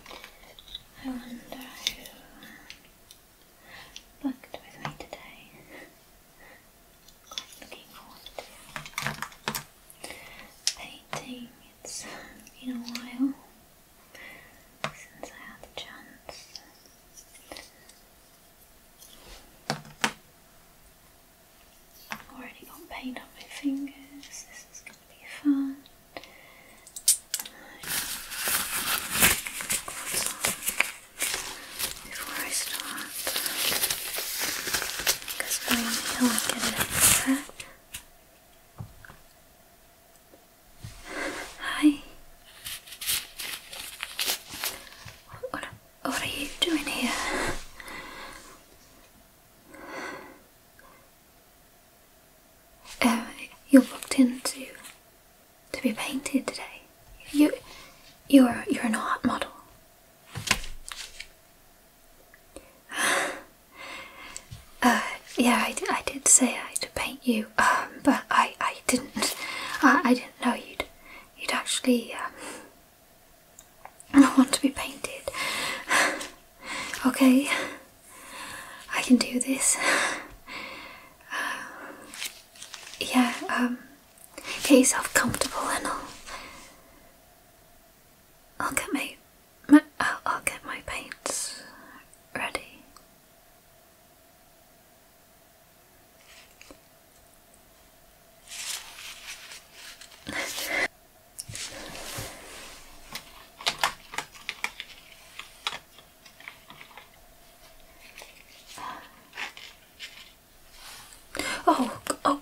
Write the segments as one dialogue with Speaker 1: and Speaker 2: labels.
Speaker 1: I wonder who booked with me today. looking forward to painting. It's been a while since I had the chance. already got paint on my fingers. This is going to be fun before I start, because my nail I get it upset. Hi. What, what are you doing here? Uh, you're booked in to, to be painted today. You, you're, you're an art model. Uh, yeah, I, I did say I had to paint you, um, but I, I didn't. I, I didn't know you'd, you'd actually um, want to be painted. okay. I can do this. Uh, yeah, um, get yourself comfortable and I'll, I'll get my, uh, I'll get my paints ready. Oh, oh,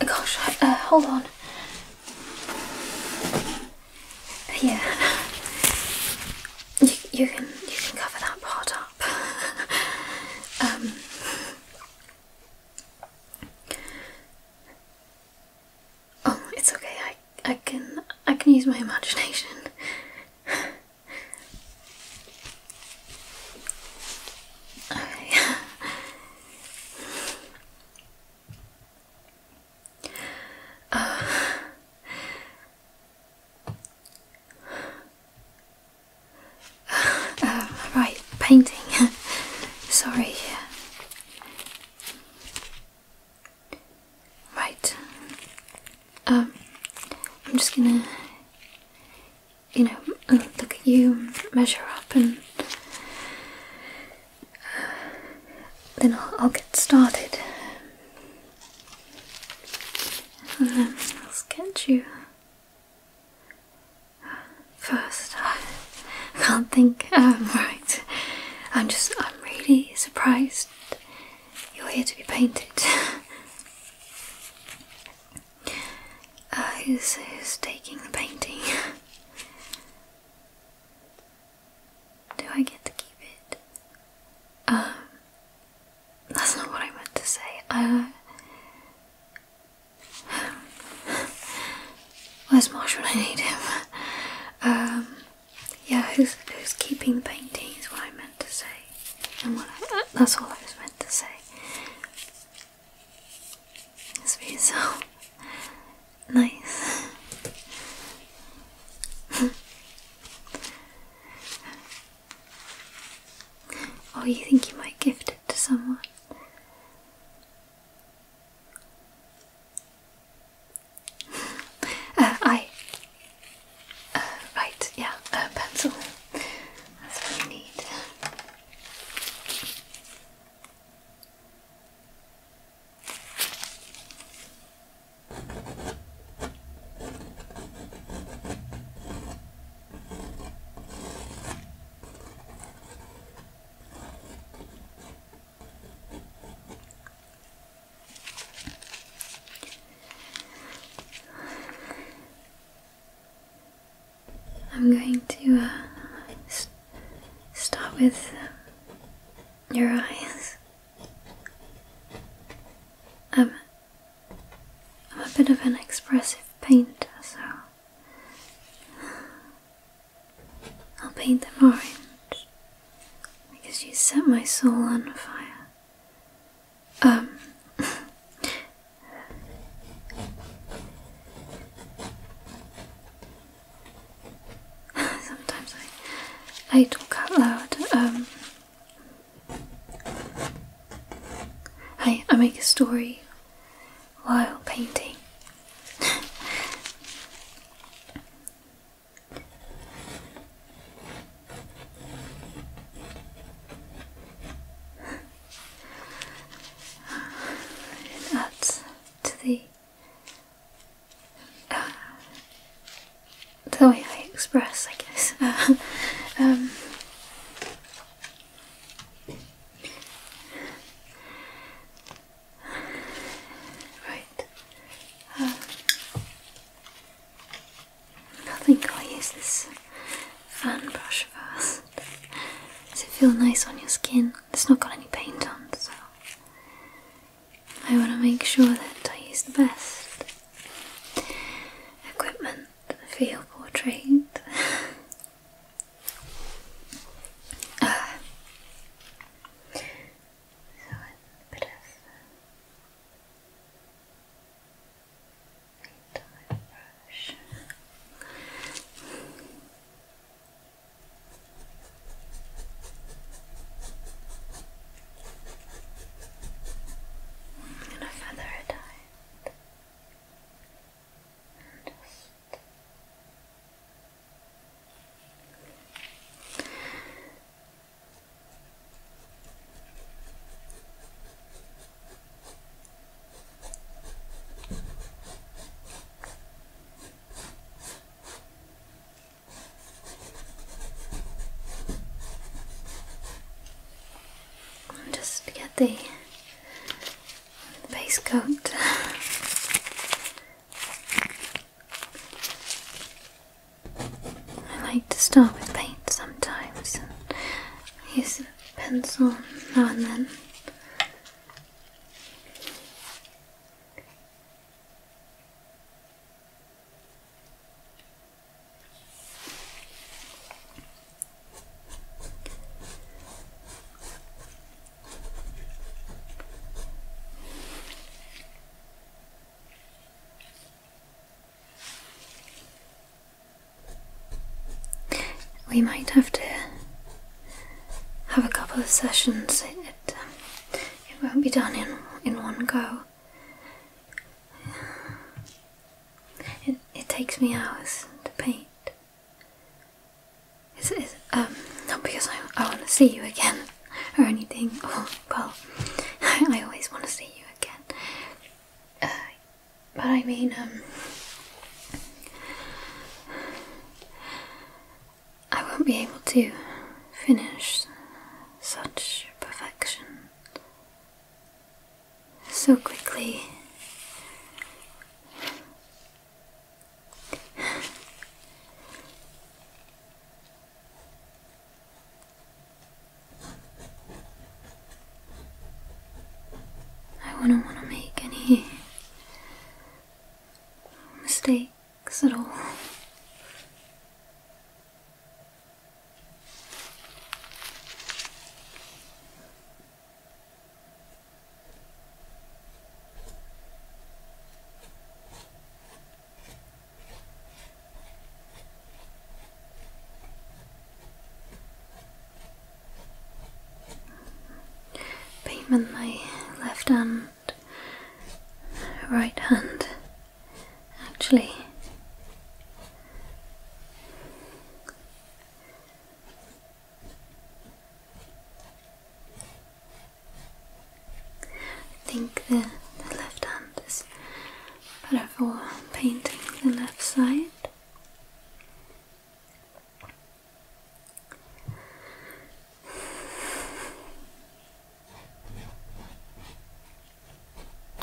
Speaker 1: gosh, uh, hold on. Yeah, you, you can you can cover that part up. um, Oh, it's okay. I I can I can use my imagination. okay. Uh, uh, right, painting. Sorry. Right. Um, I'm just gonna, you know, look at you, measure up, and uh, then I'll, I'll get started. And then I'll sketch you first. I can't think. Um, right. I'm just, I'm really surprised you're here to be painted. Uh, who's taking the painting? Do I get to keep it? Um, that's not what I meant to say. Uh, um, Where's Marshall? I need him? Um, yeah, who's, who's keeping the painting is what I meant to say. And what that's all I was meant to say. It's been so nice. oh, you think you might gift it to someone? Uh, I. Uh, right, yeah, a pencil. That's what we need. I'm going to uh, stop with um, your eyes. I'm a bit of an expressive painter, so I'll paint them orange because you set my soul on fire. Um. Sometimes I, I talk out loud. Um. I I make a story while painting, and to the uh, the way I express, I guess. Um, Right. Uh, I think I'll use this fan brush first. Does it feel nice on your skin? It's not got any paint on, so I want to make sure that I use the best equipment for your portrait. uh, so a bit of paint on brush. I'm gonna and just just get the base coat I like to start with paint sometimes and use a pencil now and then. We might have to have a couple of sessions. It, um, it won't be done in in one go. It, it takes me hours to paint. Um, not because I, want to see you again or anything. Oh, well, I, always want to see you again. Uh, but I mean, um, I won't be able to finish such perfection so quickly. I wouldn't want to make any mistakes at all. Payment my left hand, right hand, actually. I think the, left hand is better for painting the left side.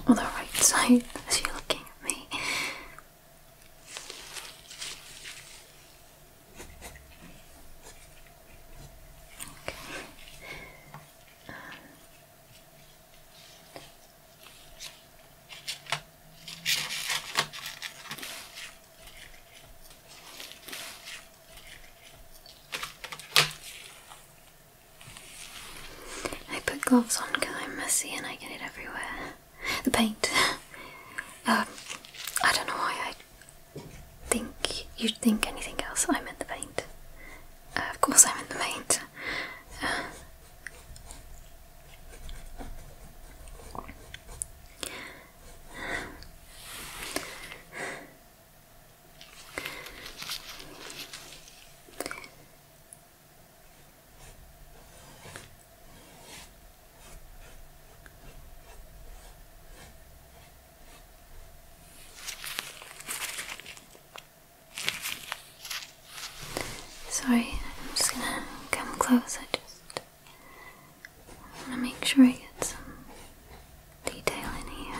Speaker 1: On the right side, as you're looking at me. I put gloves on because I'm messy and I get it everywhere. The paint. um, I don't know why I think you'd think anything else. I meant the paint. of course, I am in the paint. Uh, Sorry, I'm just gonna come close. I just want to make sure I get some detail in here.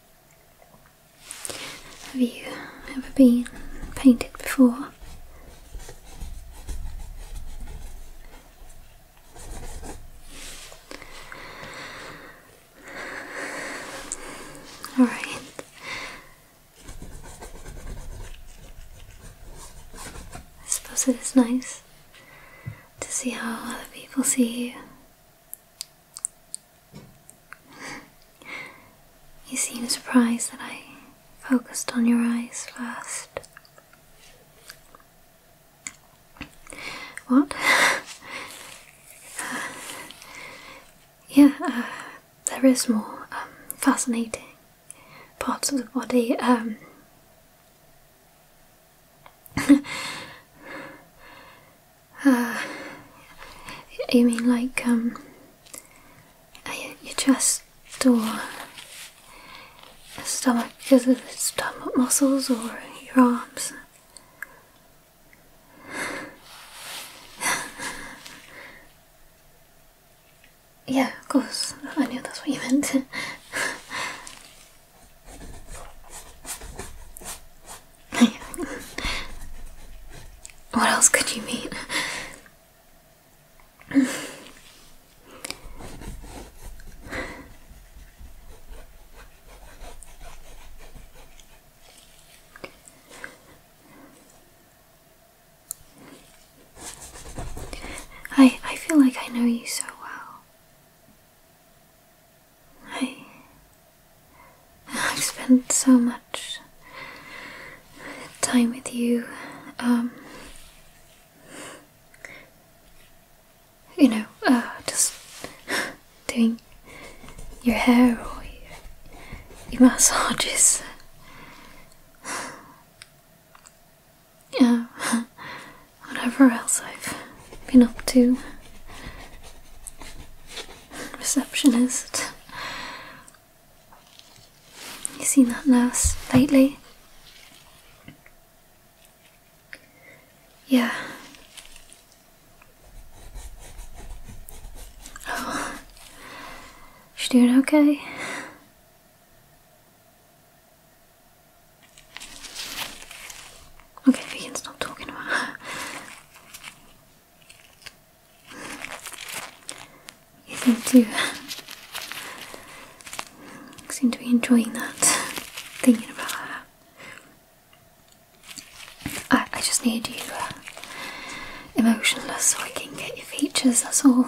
Speaker 1: Have you ever been painted before? All right. I suppose it is nice to see how other people see you you seem surprised that I focused on your eyes first. What? Uh, yeah, uh, there is more um, fascinating parts of the body. Um, Uh, you mean like, um, uh, your chest or stomach because of the stomach muscles or your arms? yeah, of course, I knew that's what you meant. what else could you mean? I I feel like I know you so well. I. I've spent so much time with you, um. You know, uh, just doing your hair or your, massages. Uh, whatever else I've been up to? Receptionist. You seen that nurse lately? Yeah. Oh. She doing okay? Okay, we can stop talking about her. You seem to seem to be enjoying that, thinking about her. I, I just need you uh, emotionless so I can get your features, that's all.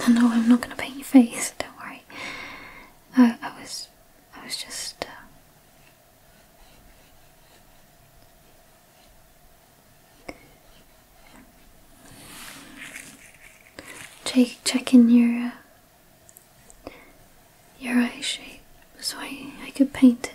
Speaker 1: No, no, I'm not going to paint your face. Don't worry. I, was, I was just. Uh, checking your uh, your eye shape so I I could paint it.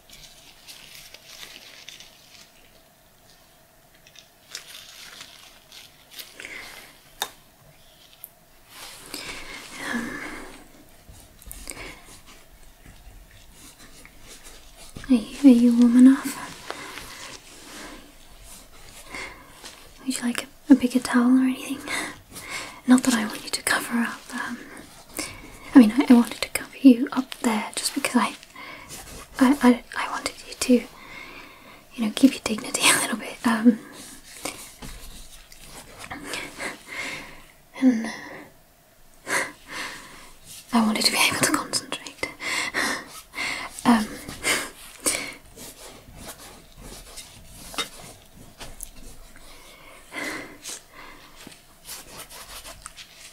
Speaker 1: Um, are, you, are you warm enough? Would you like a, bigger towel or anything? Not that I want you to cover up. Um, I mean, I, wanted to cover you up there just because I, I, I, wanted you to, you know, keep your dignity a little bit. Um. and uh, I wanted to be able to concentrate. Um.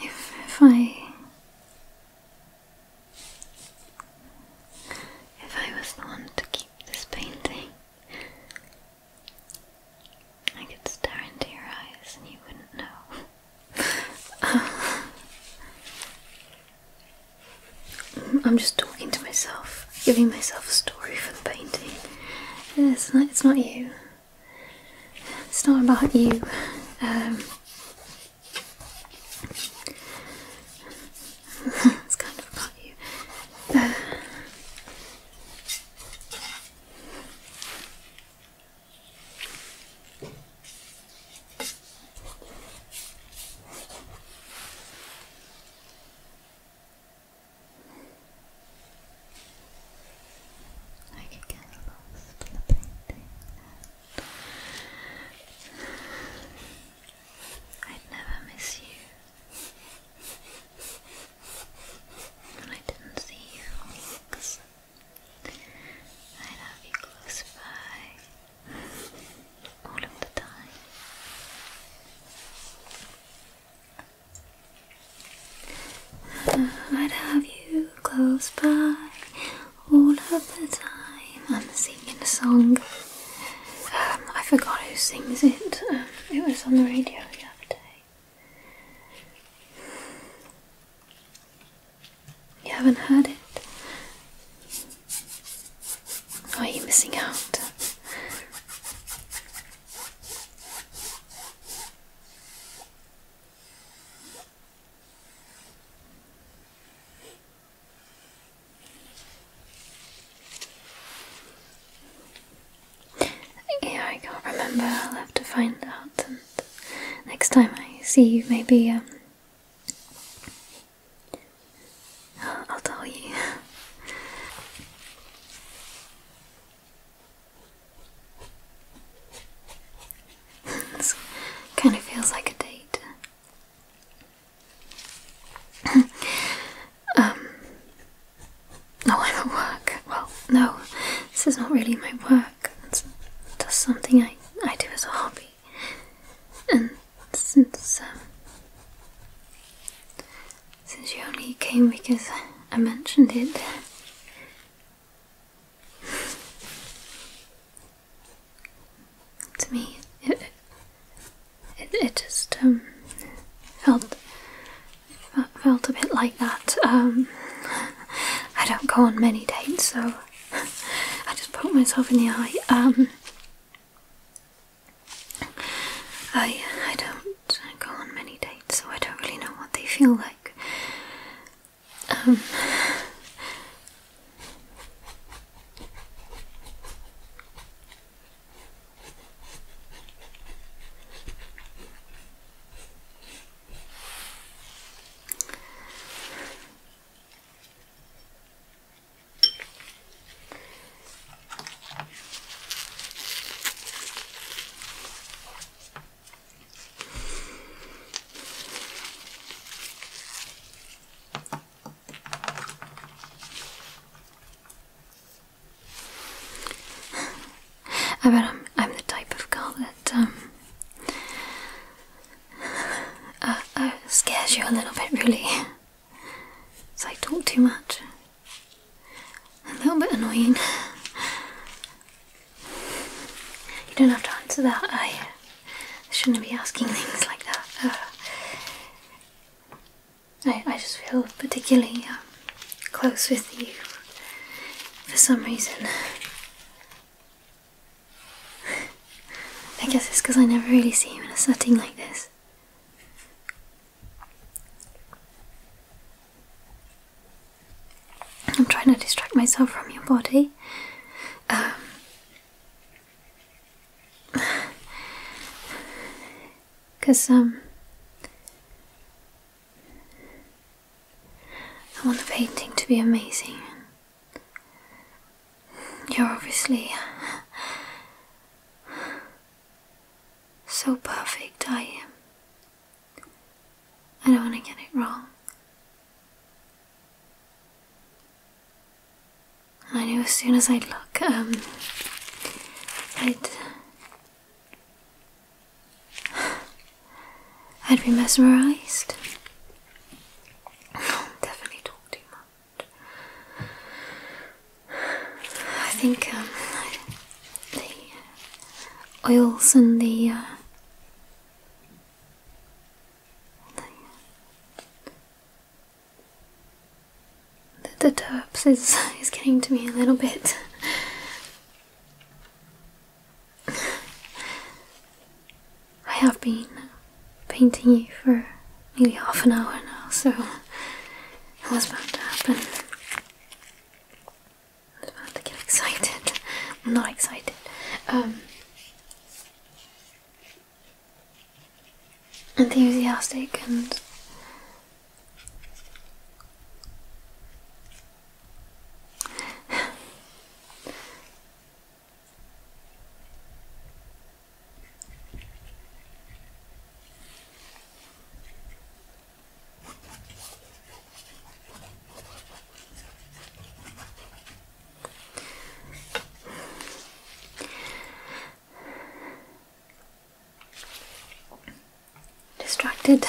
Speaker 1: If, if I. If I was the one to keep this painting, I could stare into your eyes and you wouldn't know. I'm just talking to myself giving myself a story for the painting. It's not, it's not you. It's not about you. Um, it's kind of about you. I could get lost in the painting. I'd never miss you. When I didn't see you I'd you close all of the time. I'd have you close by all of the time. I'm singing a song. Um, I forgot who sings it. Um, it was on the radio the other day. You haven't heard it? Are oh, you missing out? Yeah, I can't remember. I'll have to find out. And next time I see you, maybe um, I'll, tell you this kind of feels like a date. um, oh, I'm at work. Well, no, this is not really my work. It's just something I, I do as a hobby. And since um, since you only came because I mentioned it. to me, it, it, just um, felt felt a bit like that. Um, I don't go on many dates, so I just poke myself in the eye. Um, I I don't go on many dates, so I don't really know what they feel like. Um, I bet I'm, the type of girl that um, uh, uh, scares you a little bit, really. So I talk too much. A little bit annoying. You don't have to answer that. I shouldn't be asking things like that. I, I just feel particularly um, close with you for some reason. I guess it's because I never really see you in a setting like this. I'm trying to distract myself from your body. Um, Cause um I want the painting to be amazing. You're obviously so perfect I am. I don't want to get it wrong. I knew as soon as I'd look, um, I'd. I'd be mesmerized. Definitely talk too much. I think um, the uh, oils and the, uh, the the is is getting to me a little bit. I have been painting you for nearly half an hour now, so it was about to happen. I was about to get excited. I'm not excited. Um, enthusiastic and Distracted.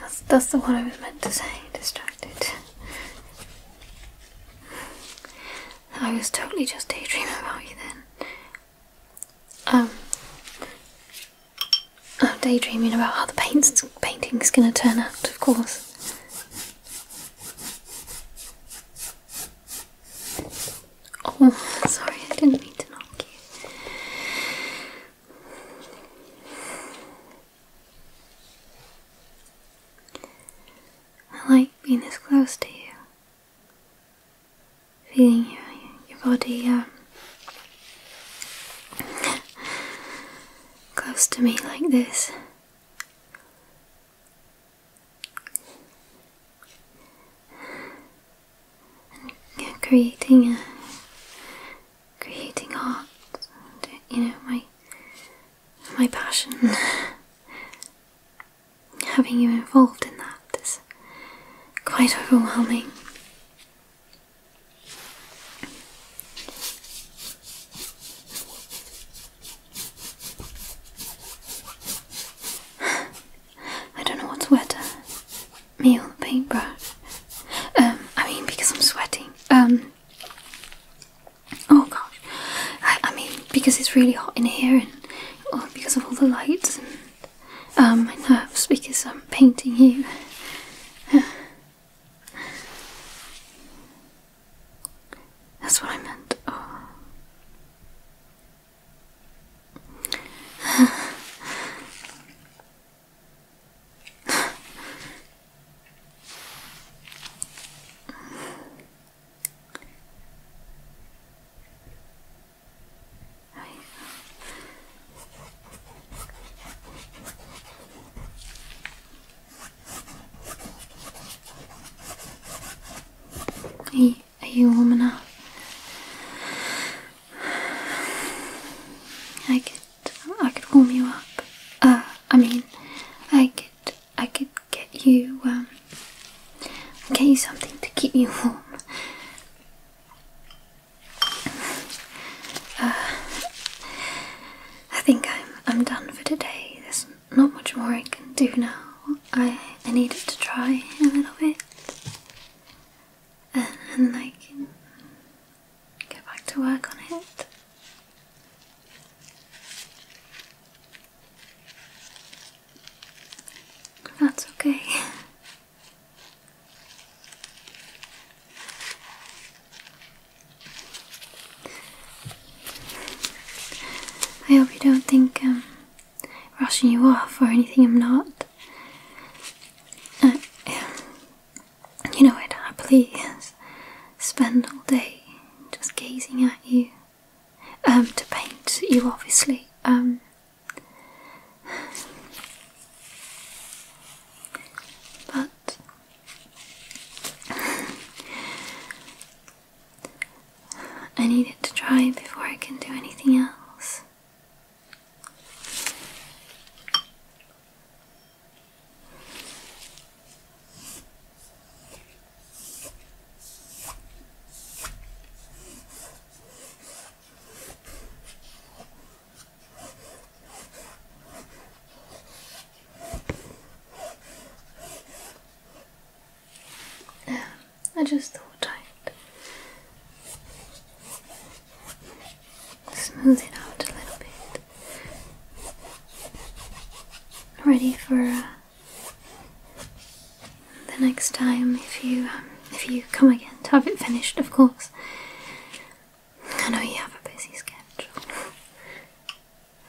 Speaker 1: That's that's the one I was meant to say. Distracted. I was totally just daydreaming about you then. Um, I'm daydreaming about how the paint's, painting's going to turn out, of course. Oh, sorry, I didn't mean to knock you. I like being this close to you feeling your, your body um, close to me like this. And creating a creating art, you know my my passion. having you involved in that is quite overwhelming. I don't know what's wetter, me or the paintbrush. Um, I mean, because I'm sweating. Um, oh gosh. I, mean, because it's really hot in here and oh, because of all the lights my nerves because I'm painting you. That's what I meant. I Are you, are you warm enough? I could, I could warm you up. Uh, I mean, I could, I could get you, um, I'll get you something to keep you warm. Uh, I think I'm I'm done for today. There's not much more I can do now. I I needed to try a little bit, and, and I can get back to work on it. That's okay. I hope you don't think I'm um, rushing you off or anything. I'm not. Uh, you know, I'd happily spend all day just gazing at you. Um, to paint you, obviously. Um, but I need it to dry before I can do anything else. I just thought I'd smooth it out a little bit. Ready for the next time if you um, if you come again to have it finished, of course. I know you have a busy schedule.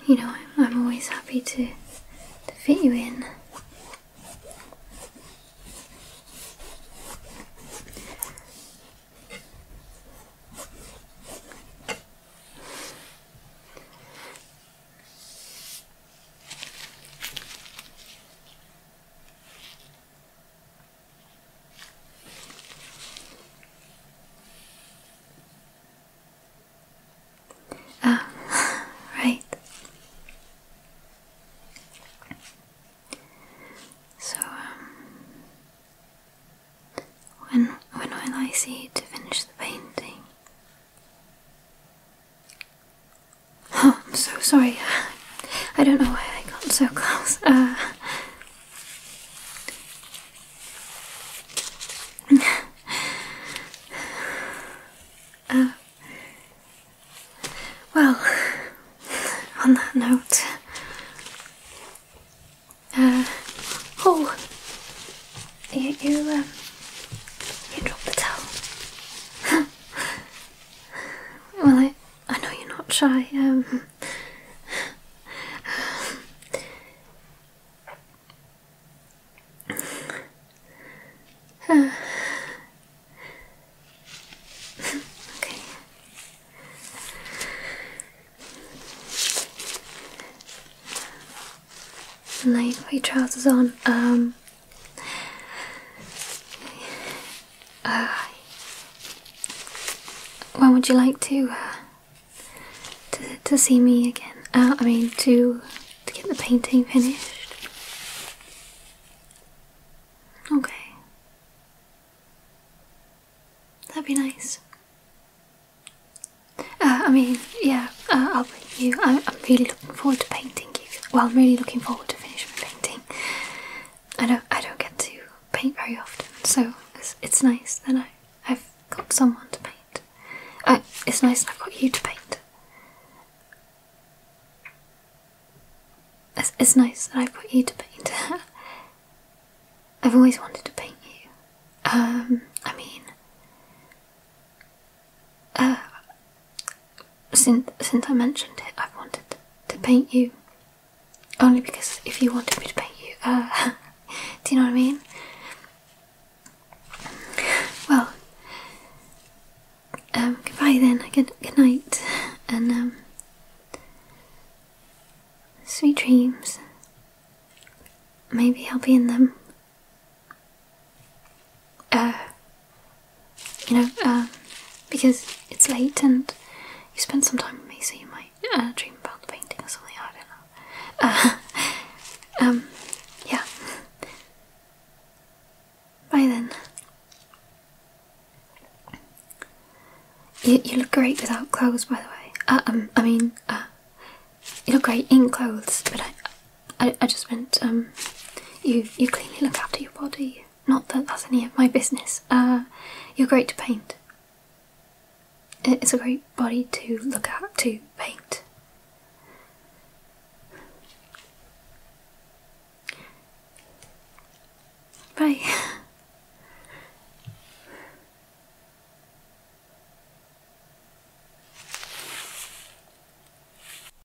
Speaker 1: you know, I'm always happy to to fit you in. Ah, right. So, um, when when will I see you to finish the painting? I'm so sorry. I don't know why I got so close. Uh, uh, well, on that note, uh, oh, you, you, um, you dropped the towel. Well, I, I know you're not shy. Um, uh, okay. you put your trousers on. Um, uh, when would you like to, uh, to see me again? Uh, I mean, to to get the painting finished. Okay. That'd be nice. Uh, I mean, yeah, I'll paint you. I, I'm really looking forward to painting you well, I'm really looking forward to finishing my painting. I don't, I don't get to paint very often, so it's, nice that I, I've got someone to paint. Uh, it's nice that I've got you to paint. It's, nice that I've got you to paint. I've always wanted to paint you. Um, I mean, uh, since since I mentioned it, I've wanted to paint you. Only because if you wanted me to paint you, uh, do you know what I mean? Well, um, goodbye then. Good good night, and um, sweet dreams. Maybe I'll be in them. Uh, you know, um, because it's late and you spent some time with me, so you might uh, dream about the painting or something. I don't know. Uh, um, yeah. Bye then. You, you look great without clothes, by the way. um, I mean, uh, you look great in clothes, but I, I, I just meant um, you you cleanly look after your body. Not that that's any of my business. Uh, you're great to paint. It's a great body to look at to paint. Bye.